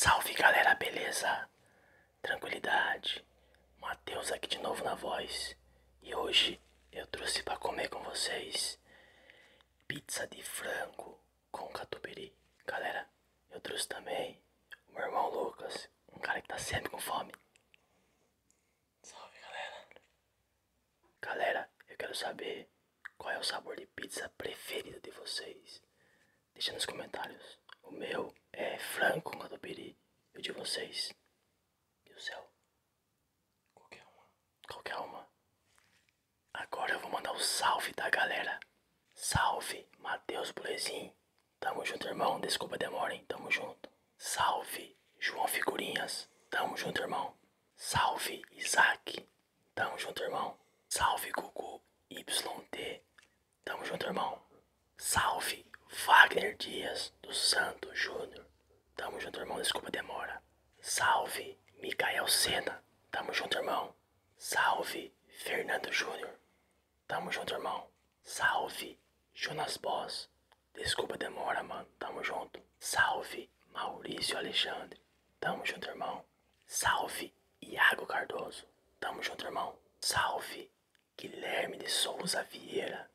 Salve galera, beleza? Tranquilidade. Matheus aqui de novo na voz. E hoje eu trouxe para comer com vocês pizza de frango com catupiry. Galera, eu trouxe também o meu irmão Lucas, um cara que tá sempre com fome. Salve galera. Galera, eu quero saber qual é o sabor de pizza preferido de vocês? Deixa nos comentários. O meu é frango com catupiry. E o de vocês? E o céu? Qualquer uma. Qualquer uma. Agora eu vou mandar o salve da galera. Salve, Matheus Bulezin. Tamo junto, irmão. Desculpa a demora, hein? Tamo junto. Salve, João Figurinhas. Tamo junto, irmão. Salve, Isaac. Tamo junto, irmão. Salve, Gugu YT. Tamo junto, irmão. Salve, Wagner Dias do Santo Júnior. Tamo junto, irmão. Desculpa a demora. Salve, Micael Sena. Tamo junto, irmão. Salve, Fernando Júnior. Tamo junto, irmão. Salve, Jonas Boss. Desculpa a demora, mano. Tamo junto. Salve, Maurício Alexandre. Tamo junto, irmão. Salve Iago Cardoso. Tamo junto, irmão. Salve Guilherme de Souza Vieira.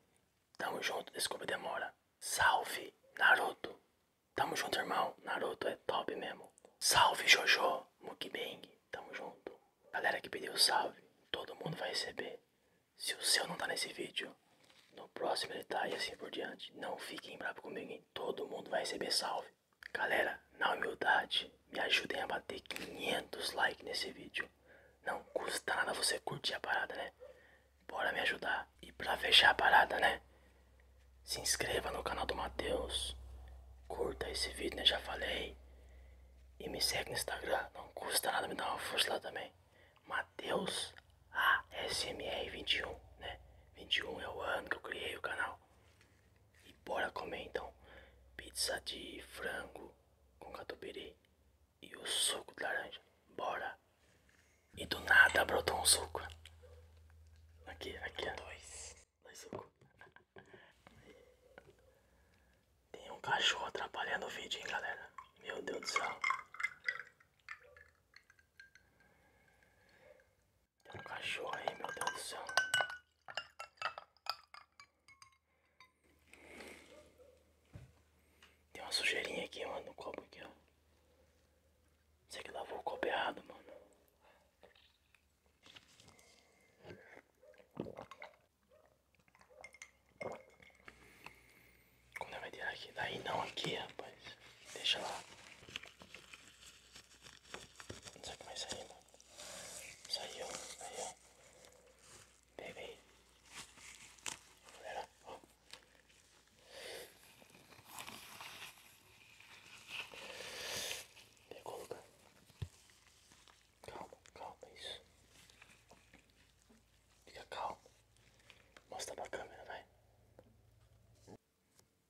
Tamo junto, desculpa a demora. Salve Naruto. Tamo junto, irmão. Naruto é top mesmo. Salve Jojo Mukbang. Tamo junto. Galera que pediu salve, todo mundo vai receber. Se o seu não tá nesse vídeo, no próximo ele tá e assim por diante. Não fiquem bravos comigo, Todo mundo vai receber salve. Galera, na humildade, me ajudem a bater 500 likes nesse vídeo. Não custa nada você curtir a parada, né? Bora me ajudar. E pra fechar a parada, né? Se inscreva no canal do Mateus, Curta esse vídeo, né? Já falei. E me segue no Instagram. Não custa nada me dar uma força lá também. Matheus ASMR21, né? 21 é o ano que eu criei o canal. E bora comer então pizza de frango com catupiry e o suco de laranja. Bora! E do nada brotou um suco. Aqui, aqui. Dois. Dois sucos. Tem um cachorro atrapalhando o vídeo, hein, galera. Meu Deus do céu. Tem um cachorro aí, meu Deus do céu. Tem uma sujeirinha aqui, mano, no copo aqui, ó. Você que lavou o copo errado, mano. Como é que vai tirar aqui? Daí não, aqui, rapaz. Deixa lá. Não sei como é que saiu. Saiu, saiu. baby aí. Galera, ó. Pegou o lugar. Calma, calma, é isso. Fica calmo. Mostra pra câmera, vai.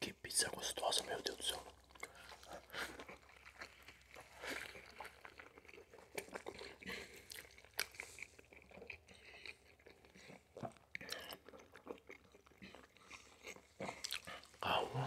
Que pizza gostosa, meu Deus do céu. Calma.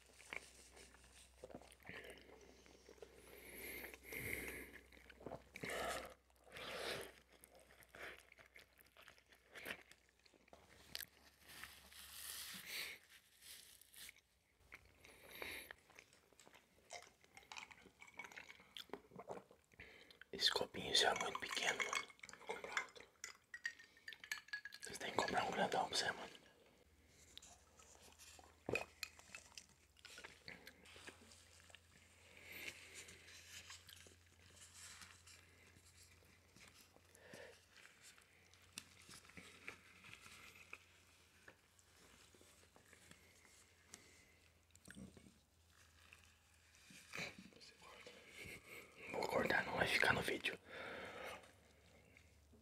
Esse copinho já é muito pequeno, mano. Vou comprar outro. Vocês têm que comprar um grandão pra você, mano. Vou acordar, não vai ficar no vídeo.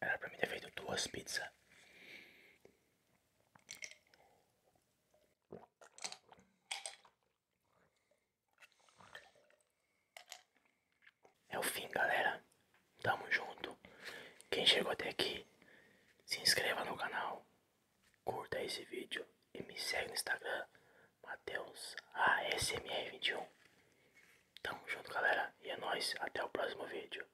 Era pra mim ter feito duas pizzas. É o fim, galera. Tamo junto. Quem chegou até aqui, se inscreva no canal, curta esse vídeo e me segue no Instagram, Mateus ASMR21. Tamo junto, galera. E é nóis. Até o próximo vídeo.